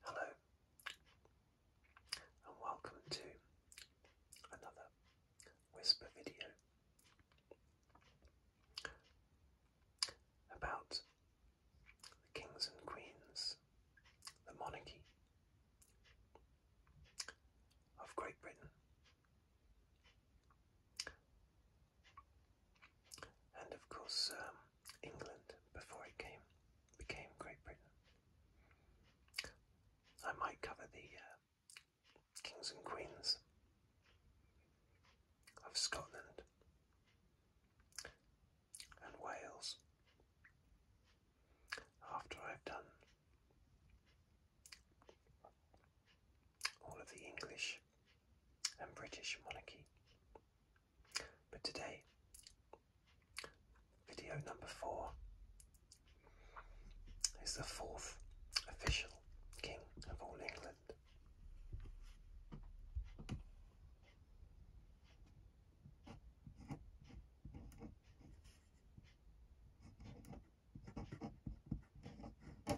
Hello, and welcome to another whisper video about kings and queens, the monarchy of Great Britain and of course um, England before it came became Great Britain. I might cover the uh, kings and queens of Scotland and Wales after I've done all of the English and British monarchy. But today, video number four is the fourth official king of all England. I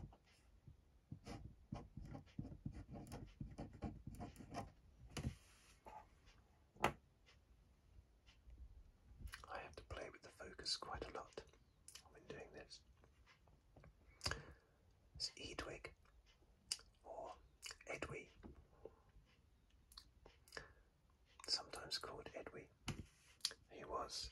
have to play with the focus quite a lot when doing this. It's or Edwy, sometimes called Edwy. He was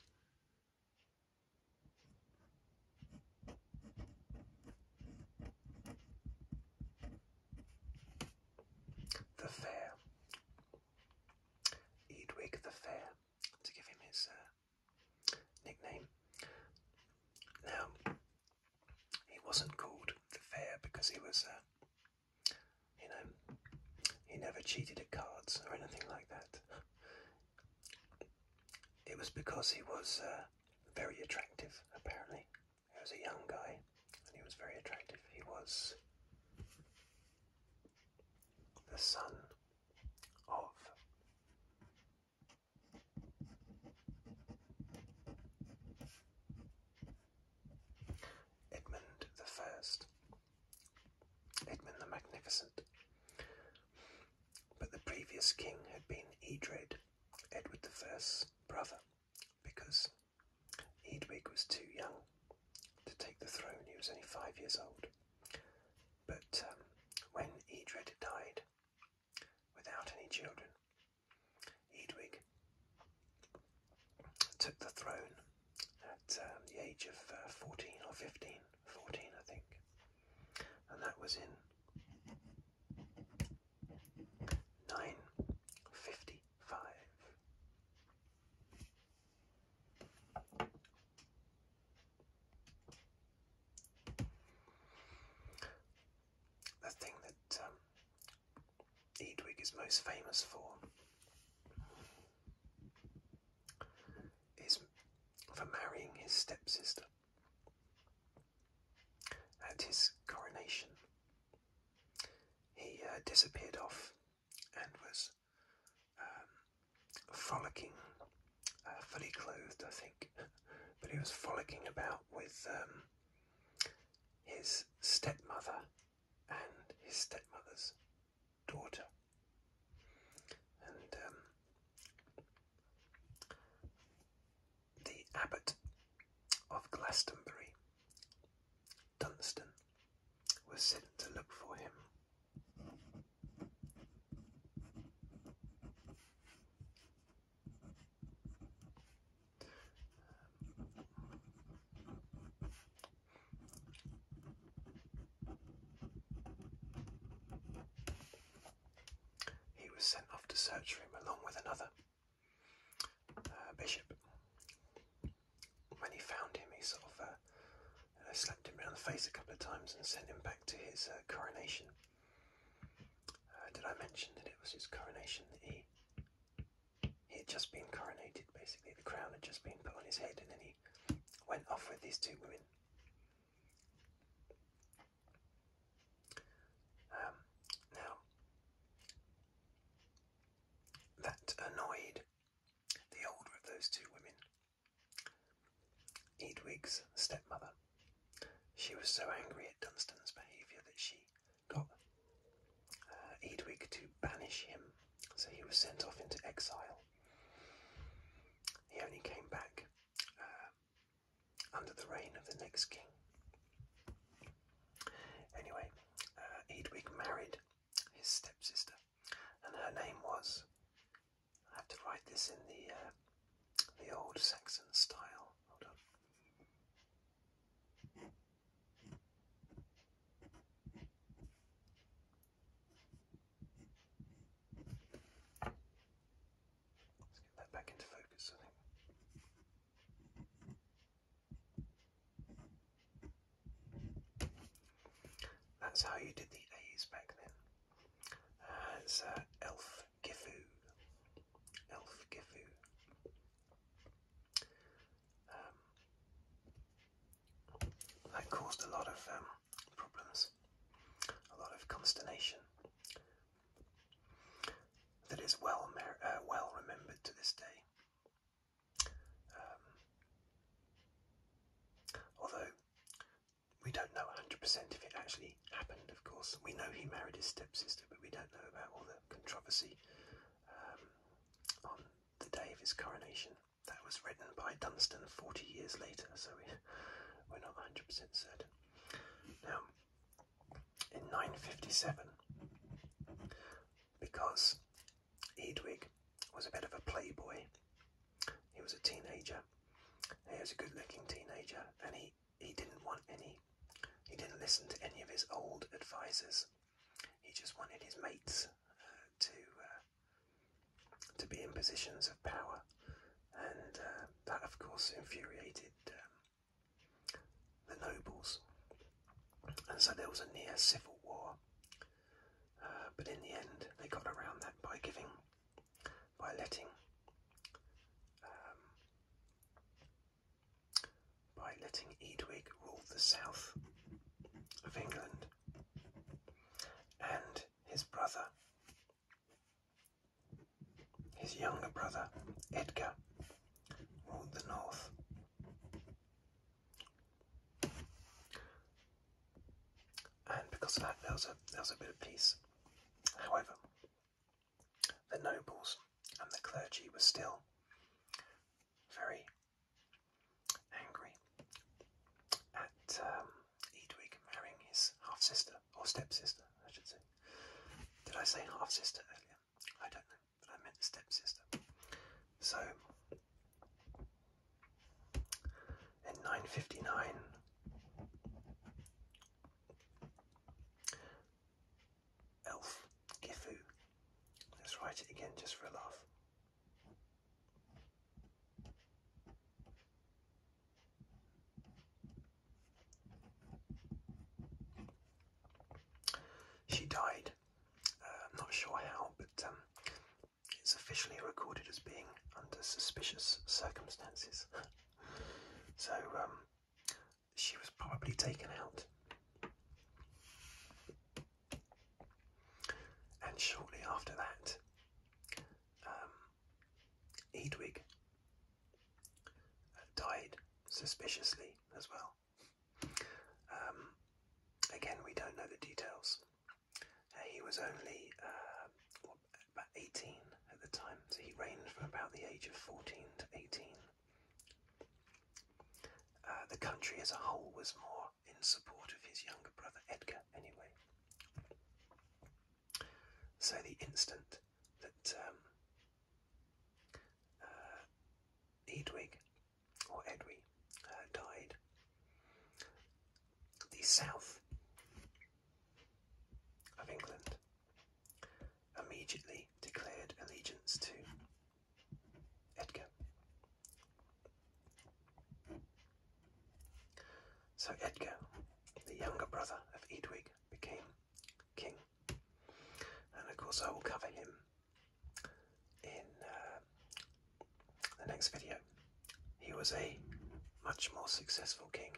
the Fair. Edwig the Fair, to give him his uh, nickname. Now, he wasn't called the Fair because he was a. Uh, you know, he never cheated at cards or anything like that. It was because he was uh, very attractive, apparently. He was a young guy and he was very attractive. He was the son of Edmund the First, Edmund the Magnificent. But the previous king had been Edred, Edward the First's brother, because Edwig was too young to take the throne. He was only five years old. But um, when Edred died without any children, Edwig took the throne at um, the age of uh, 14 or 15, 14 I think, and that was in 955. The thing that um, Eadwig is most famous for is for marrying his stepsister at his coronation. He uh, disappeared off and was um, frolicking, uh, fully clothed, I think, but he was frolicking about with um, his stepmother and his stepmother's daughter. And um, the abbot of Glastonbury, Dunstan, was sent to look for him. He was sent off to search for him along with another uh, bishop. When he found him, he sort of uh, uh, slapped him around the face a couple of times and sent him back to his coronation. did I mention that it was his coronation that he he had just been coronated, basically. The crown had just been put on his head, and then he went off with these two women. Um, now, that annoyed the older of those two women, Edwig's stepmother. She was so angry at Dunstan's behaviour that she got uh, Edwig to banish him, so he was sent off into exile. He only came back uh, under the reign of the next king. Anyway, uh, Edwig married his stepsister, and her name was. I have to write this in the uh, the old Saxon style. Hold on. Let's get that back into focus, That's how you did the A's back then. Uh, uh Elf Gifu, Elf Gifu. Um, that caused a lot of um, problems, a lot of consternation that is well, uh, well remembered to this day. Um, although we don't know 100% if it actually happened, of course. We know he married his stepsister, but we don't know about all the controversy um, on the day of his coronation. That was written by Dunstan 40 years later, so we, we're not 100% certain. Now, in 957, because Edwig was a bit of a playboy, he was a teenager, he was a good looking teenager, and he he didn't want any. He didn't listen to any of his old advisors. He just wanted his mates uh, to uh, to be in positions of power, and uh, that, of course, infuriated um, the nobles. And so there was a near civil war. but in the end, they got around that by giving by letting um, by letting Edwig rule the south of England and his brother, his younger brother Edgar, rule the north and because of that, there was a there was a bit of peace. However, the nobles and the clergy were still very angry at um, Edwig marrying his half sister or stepsister, I should say. Did I say half sister earlier? I don't know, I meant stepsister. So and 959 elf gifu let's write it again just for a laugh she died uh, not sure how but um, it's officially recorded as being under suspicious circumstances. so um, she was probably taken out. And shortly after that, um, Edwig died suspiciously as well. Um, again, we don't know the details. Uh, he was only uh, about 18 at the time, so he ranged from about the age of 14 to 18. Uh, the country as a whole was more in support of his younger brother Edgar, anyway. So the instant that um, or Edwy, uh, died. The south of England immediately declared allegiance to Edgar. So Edgar, the younger brother of Edwig, became king. And of course, I will cover him in uh, the next video. He was a much more successful king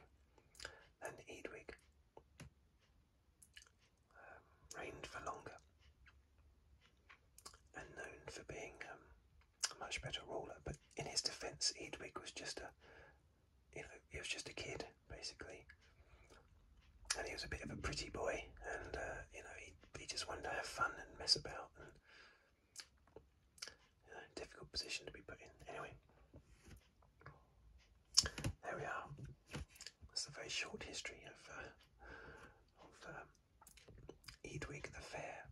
than Edwig, um, reigned for longer, and known for being um, a much better ruler. But in his defence, Edwig was just a he was just a kid basically, and he was a bit of a pretty boy, and uh, you know he he just wanted to have fun and mess about and you difficult position to be put in. Anyway, there we are. That's a very short history of, uh, um, Edwig the Fair,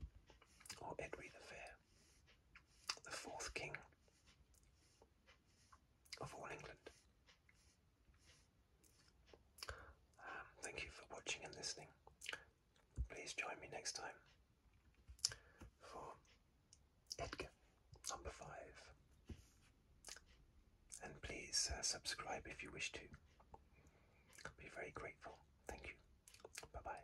or Edwy the Fair, the fourth king of all England. Um, thank you for watching and listening. Please join me next time for Edgar number five. And please uh, subscribe if you wish to. I'll be very grateful. Thank you. Bye bye.